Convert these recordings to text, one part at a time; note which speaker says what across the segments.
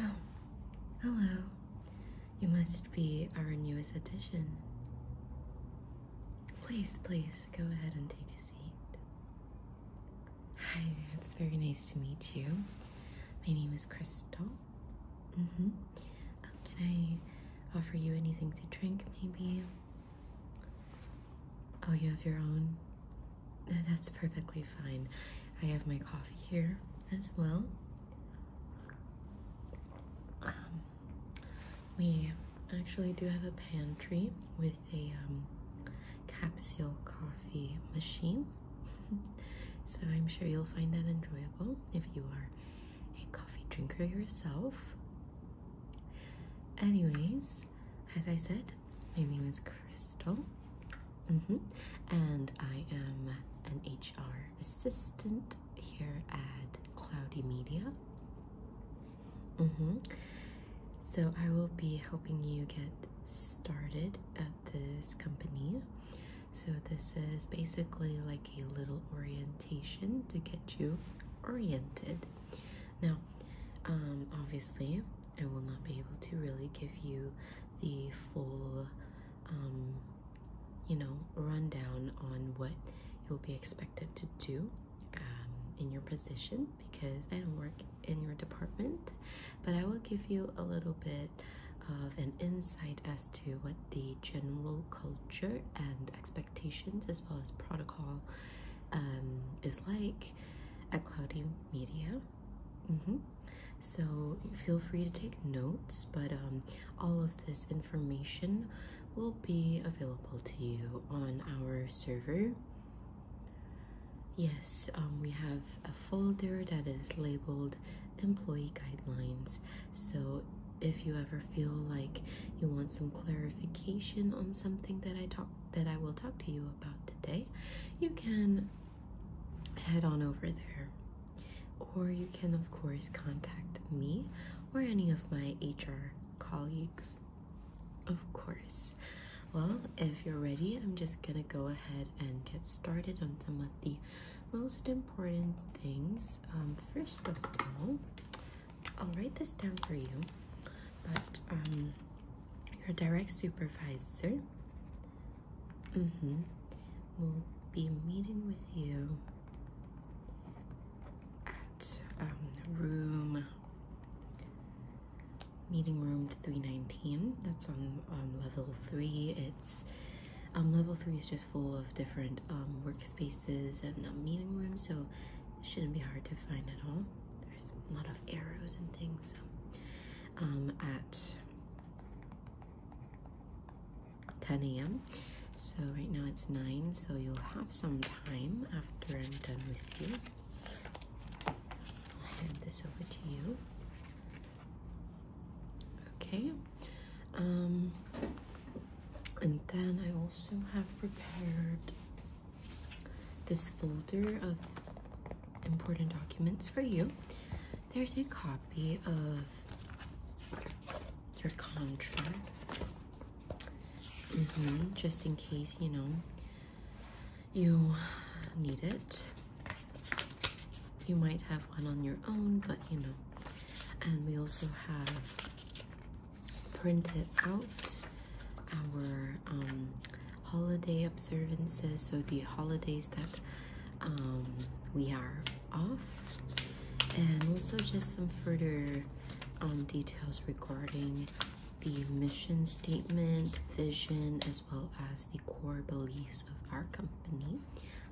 Speaker 1: Oh, hello. You must be our newest addition. Please, please go ahead and take a seat. Hi, it's very nice to meet you. My name is Crystal. -hmm. can I offer you anything to drink, maybe? Oh, you have your own? That's perfectly fine. I have my coffee here as well. Um, we actually do have a pantry with a um, capsule coffee machine. so I'm sure you'll find that enjoyable if you are a coffee drinker yourself. Anyways, as I said, my name is Crystal, mm-hmm. and I am an HR assistant here at Cloudy Media. Mm-hmm. So I will be helping you get started at this company. So this is basically like a little orientation to get you oriented. Now, um, obviously, I will not be able to really give you the full, um, you know, rundown on what you'll be expected to do um, in your position because I don't work in your department, but I will give you a little bit of an insight as to what the general culture and expectations as well as protocol is like at Cloudy Media. Mm-hmm. So feel free to take notes, but um, all of this information will be available to you on our server. Yes, um, we have a folder that is labeled employee guidelines. So if you ever feel like you want some clarification on something that I talk that I will talk to you about today, you can head on over there. Or you can, of course, contact me or any of my HR colleagues. Of course. Well, if you're ready, I'm just gonna go ahead and get started on some of the most important things. Um, first of all, I'll write this down for you, but um, your direct supervisor mm -hmm, will be meeting with you at um, room meeting room 319. That's on um, level three. It's um, level three is just full of different um, workspaces and um, meeting rooms, so it shouldn't be hard to find at all a lot of arrows and things. So, um, at 10 a.m. So right now it's 9, so you'll have some time after I'm done with you. I'll hand this over to you. Okay. Um, and then I also have prepared this folder of important documents for you. There's a copy of your contract, mm-hmm, just in case you know you need it. You might have one on your own, but you know. And we also have printed out our um, holiday observances, so the holidays that um, we are off, and also just some further um, details regarding the mission statement, vision, as well as the core beliefs of our company.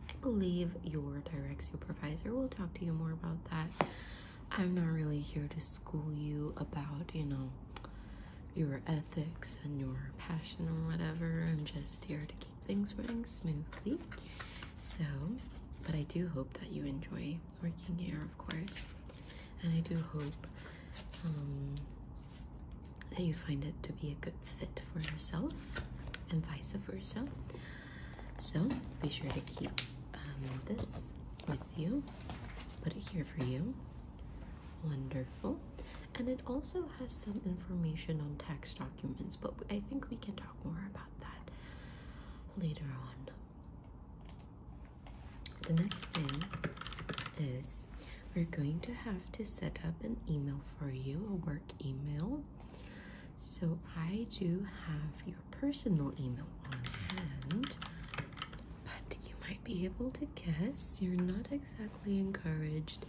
Speaker 1: I believe your direct supervisor will talk to you more about that I'm not really here to school you about, you know, your ethics and your passion or whatever. I'm just here to keep things running smoothly. So, but I do hope that you enjoy working here, of course. And I do hope um, that you find it to be a good fit for yourself and vice versa. So be sure to keep um, this with you put it here for you. Wonderful. And it also has some information on tax documents, but I think we can talk more about that later on. The next thing is we're going to have to set up an email for you, a work email. So I do have your personal email on hand, but you might be able to guess you're not exactly encouraged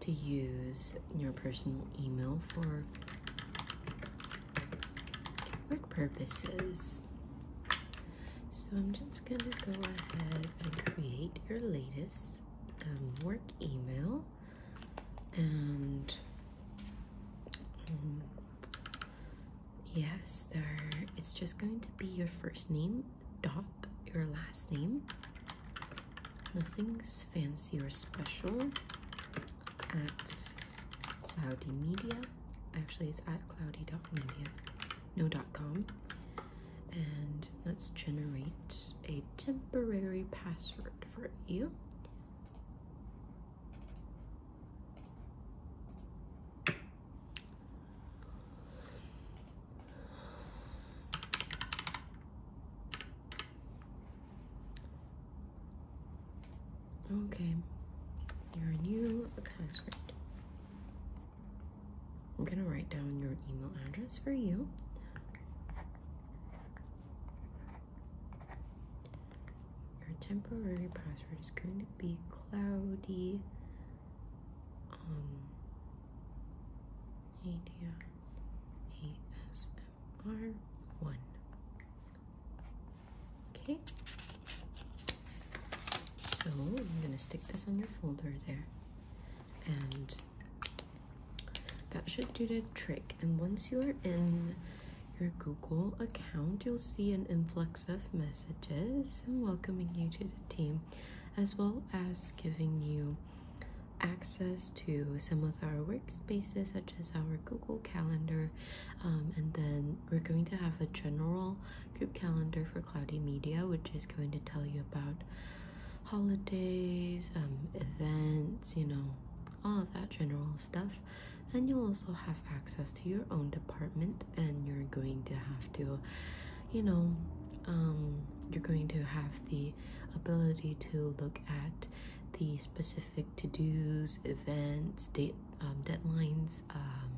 Speaker 1: to use your personal email for work purposes. So I'm just going to go ahead and create your latest um, work email and um, yes there it's just going to be your first name dot your last name nothing's fancy or special at cloudy media actually it's at Media. no dot com and let's generate a temporary password for you Okay, your new password. I'm gonna write down your email address for you. Your temporary password is going to be cloudy. Um, media ASMR one. Okay. So I'm gonna stick this on your folder there, and that should do the trick. And once you're in your Google account, you'll see an influx of messages and welcoming you to the team, as well as giving you access to some of our workspaces, such as our Google Calendar. Um, and then we're going to have a general group calendar for Cloudy Media, which is going to tell you about holidays, um, events, you know, all of that general stuff and you'll also have access to your own department and you're going to have to you know um, you're going to have the ability to look at the specific to-dos events date um, deadlines um,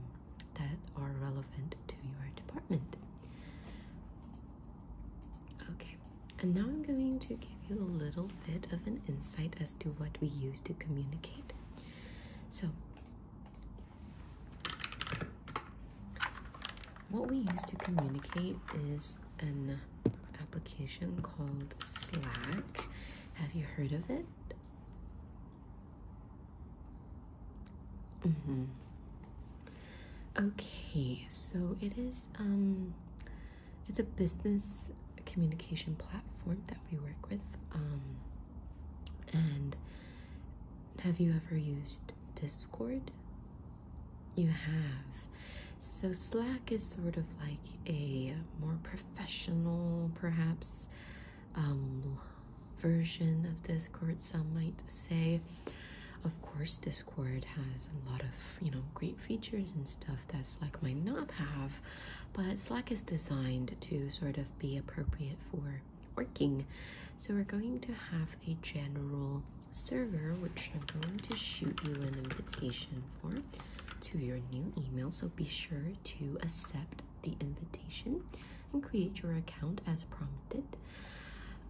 Speaker 1: that are relevant to your department okay and now i'm going to give you a little bit of an insight as to what we use to communicate so what we use to communicate is an application called Slack. Have you heard of it? Mm -hmm. Okay, so it is um it's a business communication platform that we work with. Um, and have you ever used Discord? You have. So Slack is sort of like a more professional, perhaps, um, version of Discord, some might say. Of course, Discord has a lot of, you know, great features and stuff that Slack might not have, but Slack is designed to sort of be appropriate for working. So we're going to have a general server, which I'm going to shoot you an invitation for to your new email. So be sure to accept the invitation and create your account as prompted.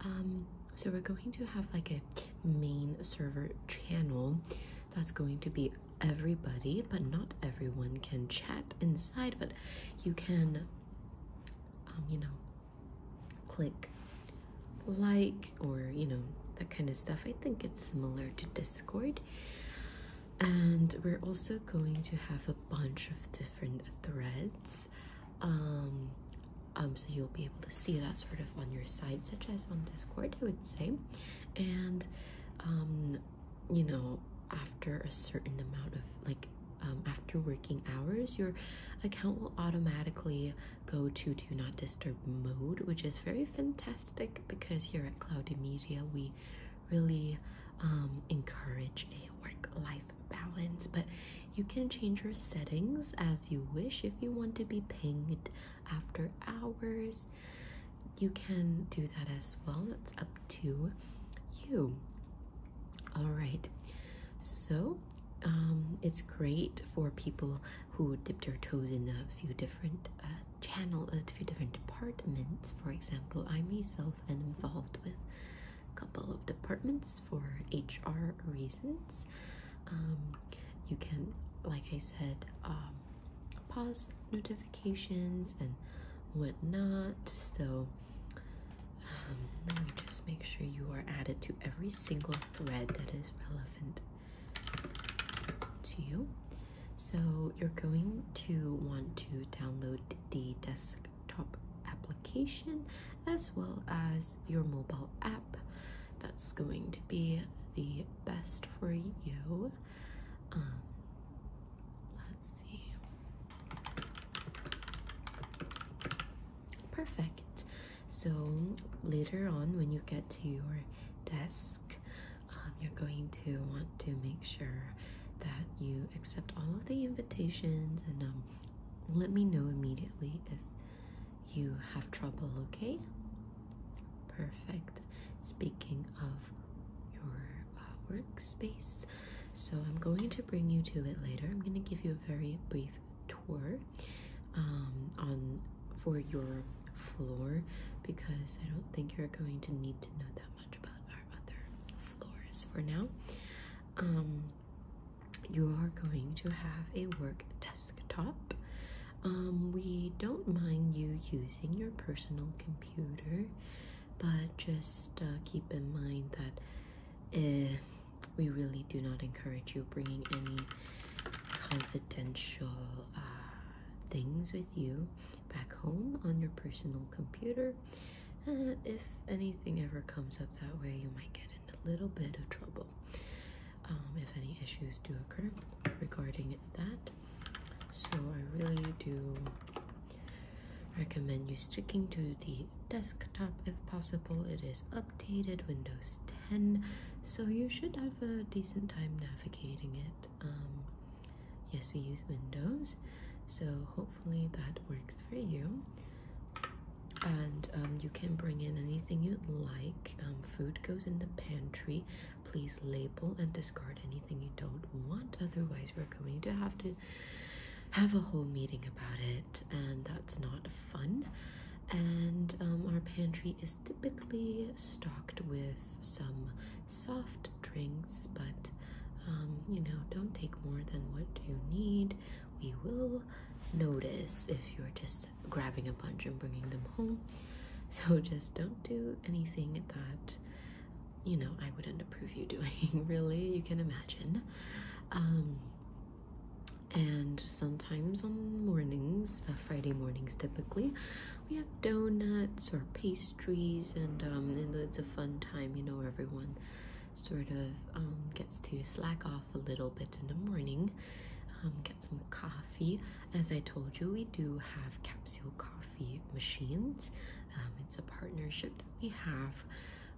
Speaker 1: Um, so we're going to have like a main server channel that's going to be everybody, but not everyone can chat inside, but you can, um, you know, click like or, you know, that kind of stuff. I think it's similar to Discord. And we're also going to have a bunch of different threads. Um, um, so you'll be able to see that sort of on your side, such as on Discord, I would say. And um, you know after a certain amount of like um, after working hours your account will automatically go to do not disturb mode which is very fantastic because here at cloudy media we really um, encourage a work-life balance but you can change your settings as you wish if you want to be pinged after hours you can do that as well. It's up to you. All right, so um, it's great for people who dipped their toes in a few different uh, channels, a few different departments. For example, I myself am involved with a couple of departments for HR reasons. Um, you can, like I said, um, pause notifications and whatnot. So um, let me just make sure you are added to every single thread that is relevant to you. So you're going to want to download the desktop application as well as your mobile app. That's going to be the best for you. Um, Let's see. Perfect. So later on, when you get to your desk, um, you're going to want to make sure that you accept all of the invitations and um, let me know immediately if you have trouble, okay? Perfect. Speaking of your uh, workspace. So I'm going to bring you to it later. I'm going to give you a very brief tour um, on for your floor because I don't think you're going to need to know that much about our other floors for now. Um, you are going to have a work desktop. Um, we don't mind you using your personal computer computer but just uh, keep in mind that eh, we really do not encourage you bringing any confidential uh, things with you back home on your personal computer if anything ever comes up that way you might get in a little bit of trouble um, if any issues do occur regarding that. So I really do recommend you sticking to the desktop if possible. It is updated Windows 10, so you should have a decent time navigating it. Um, yes, we use Windows, so hopefully that works for you. And um, you can bring in anything you'd like. Um, food goes in the pantry. Please label and discard anything you don't want, otherwise, we're going to have to have a whole meeting about it, and that's not fun. And um, our pantry is typically stocked with some soft drinks, but um, you know, don't take more than what you need. We will notice if you're just grabbing a bunch and bringing them home. So just don't do anything that you know, I wouldn't approve you doing, really, you can imagine. Um, and sometimes on mornings, uh, Friday mornings typically, we have donuts or pastries, and, um, it's a fun time, you know, everyone sort of um, gets to slack off a little bit in the morning, um, get some coffee. As I told you, we do have capsule coffee machines. Um, it's a partnership that we have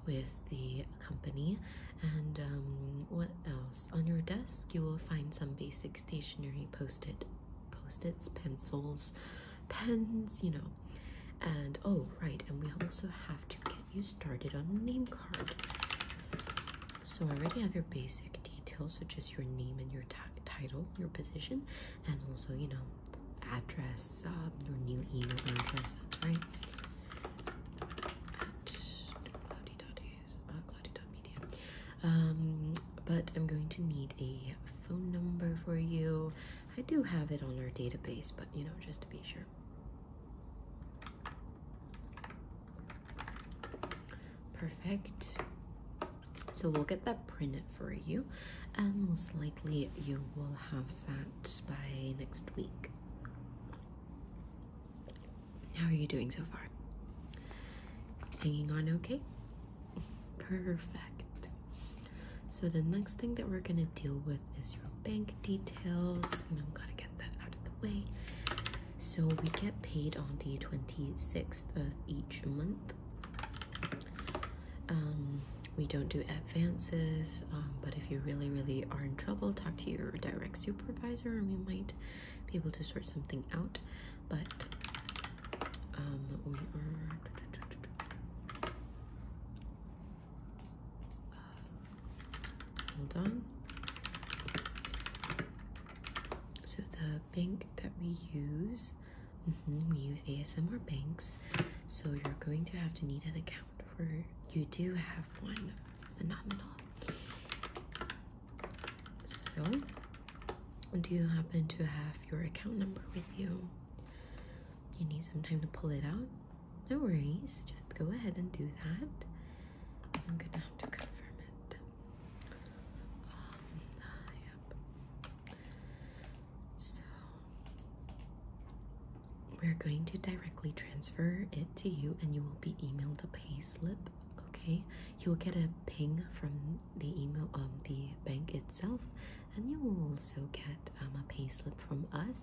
Speaker 1: with the company. And um, what else? On your desk, you will find some basic stationery post-it, post-its, pencils, pens, you know. And oh, right, and we also have to get you started on a name card. So I already have your basic details, so just your name and your title, your position, and also, you know, address, um, your new email address, right. At cloudy.media. Uh, um, but I'm going to need a phone number for you. I do have it on our database, but you know, just to be sure. Perfect. So we'll get that printed for you, and most likely you will have that by next week. How are you doing so far? Hanging on okay? Perfect. So the next thing that we're gonna deal with is your bank details. You know, gotta get that out of the way. So we get paid on the 26th of each month. Um, we don't do advances, um, but if you really, really are in trouble, talk to your direct supervisor and we might be able to sort something out. But um, we are. Uh, hold on. So the bank that we use Mm-hmm, we use ASMR banks, so you're going to have to need an account for. You do have one. Phenomenal. So, do you happen to have your account number with you? You need some time to pull it out. No worries. Just go ahead and do that. I'm gonna have to confirm it. yep. Um, so we're going to directly transfer it to you and you will be emailed a pay slip, okay? You will get a ping from the email um the bank itself and you will also get um, a pay slip from us.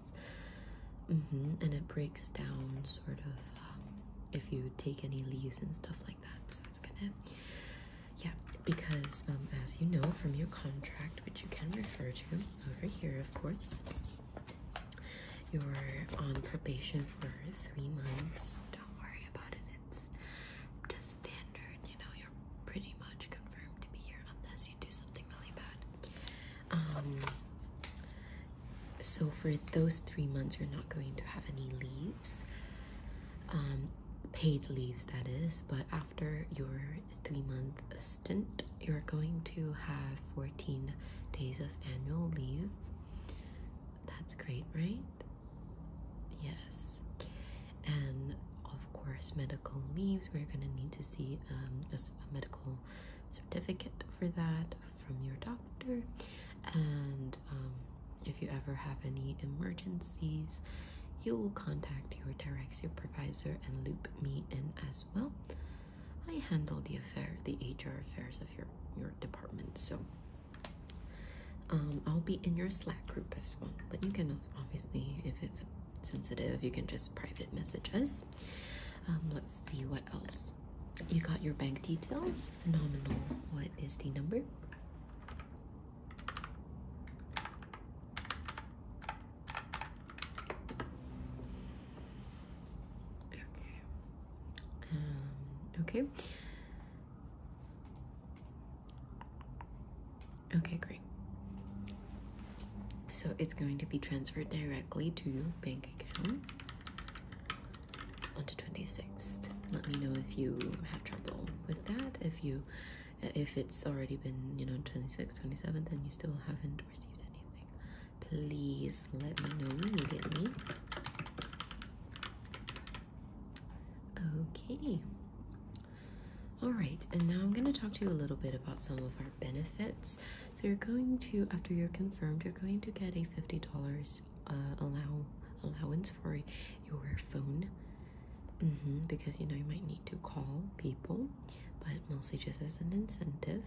Speaker 1: Mm -hmm. And it breaks down sort of um, if you take any leaves and stuff like that. So it's gonna yeah, because um, as you know from your contract, which you can refer to over here, of course, you're on probation for three months. Don't worry about it. It's just standard. You know, you're pretty much confirmed to be here unless you do something really bad. Um. So for those three months, you're not going to have any leaves. Um, paid leaves that is but after your three month stint you're going to have 14 days of annual leave that's great right yes and of course medical leaves we're going to need to see um, a, medical certificate for that from your doctor and um, if you ever have any emergencies, you will contact your direct supervisor and loop me in as well. I handle the affair, the HR affairs of your your department, so um, I'll be in your Slack group as well. But you can obviously, if it's sensitive, you can just private messages. Um, let's see what else. You got your bank details. Phenomenal. What is the number? Okay. Um, okay. Okay, great. So it's going to be transferred directly to your bank account on the 26th. Let me know if you have trouble with that, if you if it's already been you know 26 27 then you still haven't received anything please let me know immediately okay all right and now i'm going to talk to you a little bit about some of our benefits so you're going to after you're confirmed you're going to get a $50 uh, allow allowance for your phone Mm -hmm, because you know you might need to call people, but mostly just as an incentive.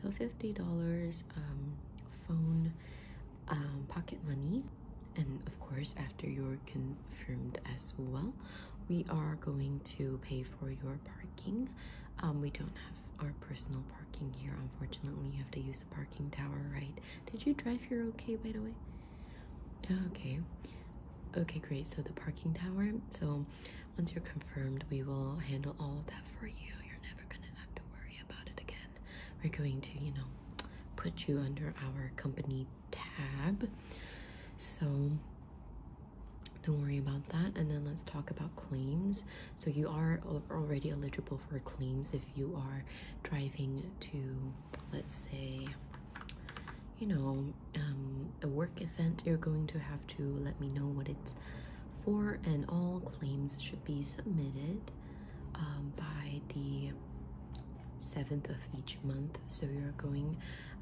Speaker 1: So fifty dollars um, phone um, pocket money, and of course after you're confirmed as well, we are going to pay for your parking. Um, we don't have our personal parking here, unfortunately. You have to use the parking tower, right? Did you drive here okay, by the way? Oh, okay. Okay, great. So the parking tower. So once you're confirmed, we will handle all of that for you. You're never gonna have to worry about it again. We're going to, you know, put you under our company tab. So don't worry about that. And then let's talk about claims. So you are already eligible for claims if you are driving to, let's say, you know, um, a work event, you're going to have to let me know what it's for, and all claims should be submitted um, by the 7th of each month. So you're going,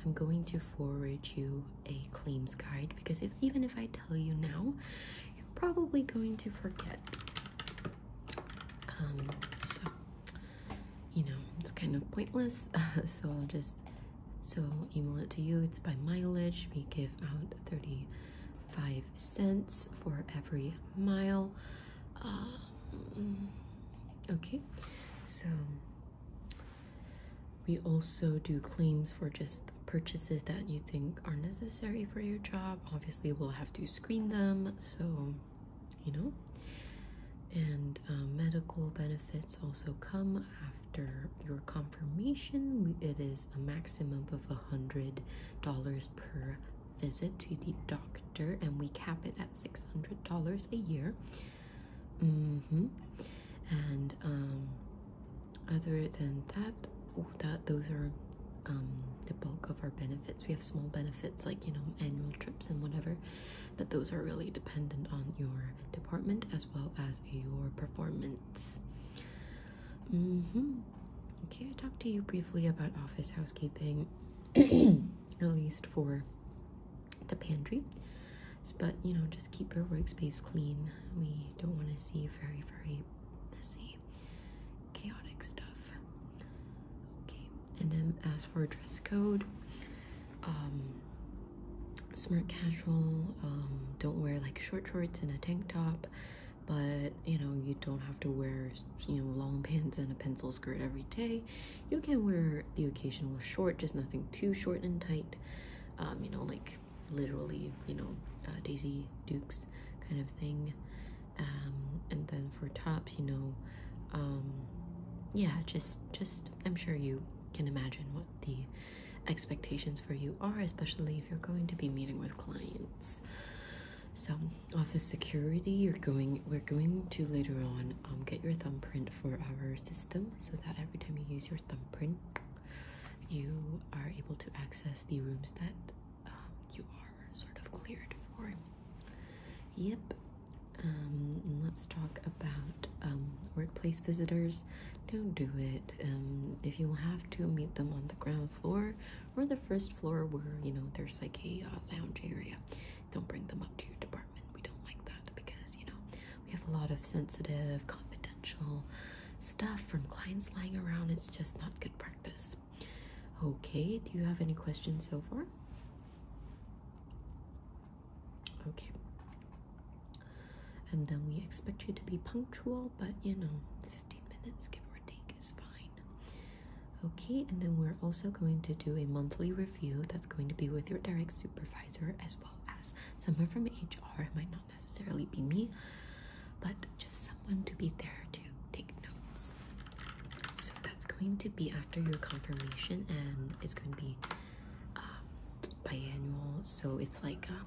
Speaker 1: I'm going to forward you a claims guide because if even if I tell you now, you're probably going to forget. Um, so you know, it's kind of pointless. so I'll just so email it to you. It's by mileage. We give out 35 cents for every mile. Um, okay, so we also do claims for just purchases that you think are necessary for your job. Obviously, we'll have to screen them. So you know and uh, medical benefits also come after your confirmation it is a maximum of a hundred dollars per visit to the doctor and we cap it at six hundred dollars a year mm-hmm. and um, other than that that those are um, the bulk of our benefits we have small benefits like you know annual and whatever, but those are really dependent on your department as well as your performance. Mm-hmm. Okay, I talked to you briefly about office housekeeping, at least for the pantry. But you know, just keep your workspace clean. We don't want to see very, very messy chaotic stuff. Okay, and then as for dress code, um, smart casual, um, don't wear like short shorts and a tank top, but you know, you don't have to wear, you know, long pants and a pencil skirt every day. You can wear the occasional short, just nothing too short and tight. Um, you know, like literally, you know, uh, Daisy Dukes kind of thing. Um, and then for tops you know um, yeah just just i'm sure you can imagine what the expectations for you are especially if you're going to be meeting with clients so office security you're going we're going to later on um, get your thumbprint for our system so that every time you use your thumbprint you are able to access the rooms that um, you are sort of cleared for. Yep. Um, let's talk about um, workplace visitors. Don't do it. Um, if you have to, meet them on the ground floor or the first floor where, you know, there's like a uh, lounge area. Don't bring them up to your department. We don't like that because, you know, we have a lot of sensitive, confidential stuff from clients lying around. It's just not good practice. Okay, do you have any questions so far? Okay. And then we expect you to be punctual, but you know, 15 minutes give or take is fine. Okay, and then we're also going to do a monthly review that's going to be with your direct supervisor as well as someone from HR. It might not necessarily be me, but just someone to be there to take. So that's going to be after your confirmation, and it's going to be um, biannual. So it's like um,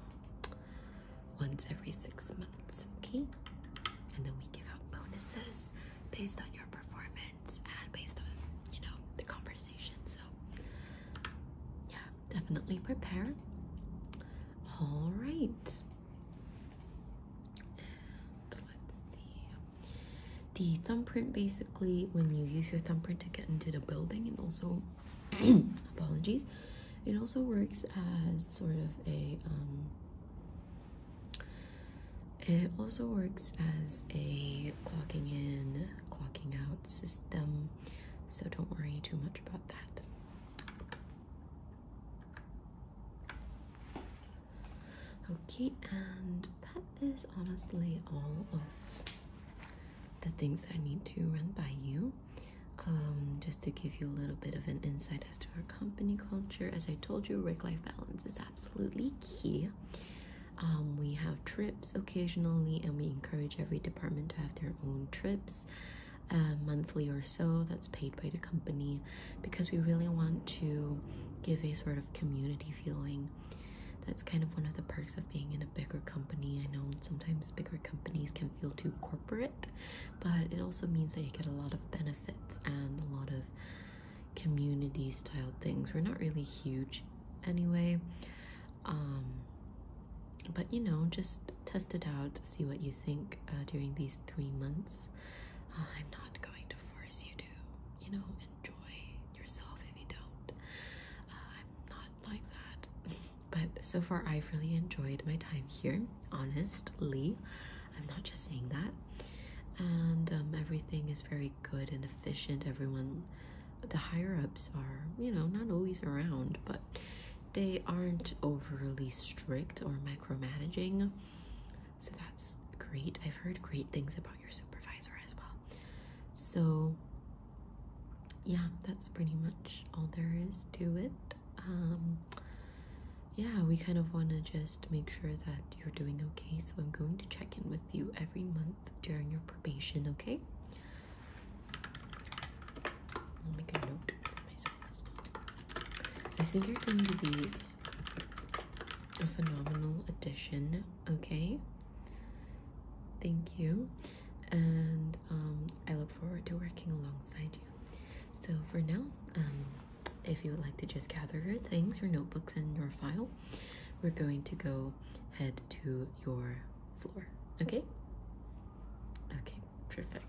Speaker 1: once every six months, okay? And then we give out bonuses based on your performance and based on you know the conversation. So yeah, definitely prepare. All right. let's see the thumbprint basically when you use your thumbprint to get into the building and also apologies it also works as sort of a um, it also works as a clocking in clocking out system so don't worry too much about that Okay, and that is honestly all of the things I need to run by you. Um, just to give you a little bit of an insight as to our company culture. As I told you, work life balance is absolutely key. Um, we have trips occasionally, and we encourage every department to have their own trips. Uh, monthly or so that's paid by the company because we really want to give a sort of community feeling. That's kind of one of the perks of being in a bigger company. I know sometimes bigger companies can feel too corporate, but it also means that you get a lot of benefits and a lot of community style things. We're not really huge anyway. Um, but you know, just test it out, see what you think uh, during these three months. Uh, I'm not going to force you to, you know, enjoy yourself if you don't. Uh, I'm not like that. but so far, I've really enjoyed my time here, honestly. I'm not just saying that. And um, everything is very good and efficient. Everyone, the higher ups are, you know, not always around, but they aren't overly strict or micromanaging. So that's great. I've heard great things about your supervisor as well. So, yeah, that's pretty much all there is to it. Um, yeah, we kind of want to just make sure that you're doing okay. So, I'm going to check in with you every month during your probation, okay? I'll make a note for myself as well. I think you're going to be a phenomenal addition, okay? Thank you, and um, I look forward to working alongside you. So, for now, um, if you would like to just gather your things, your notebooks, and your file, we're going to go head to your floor, okay? Okay, perfect.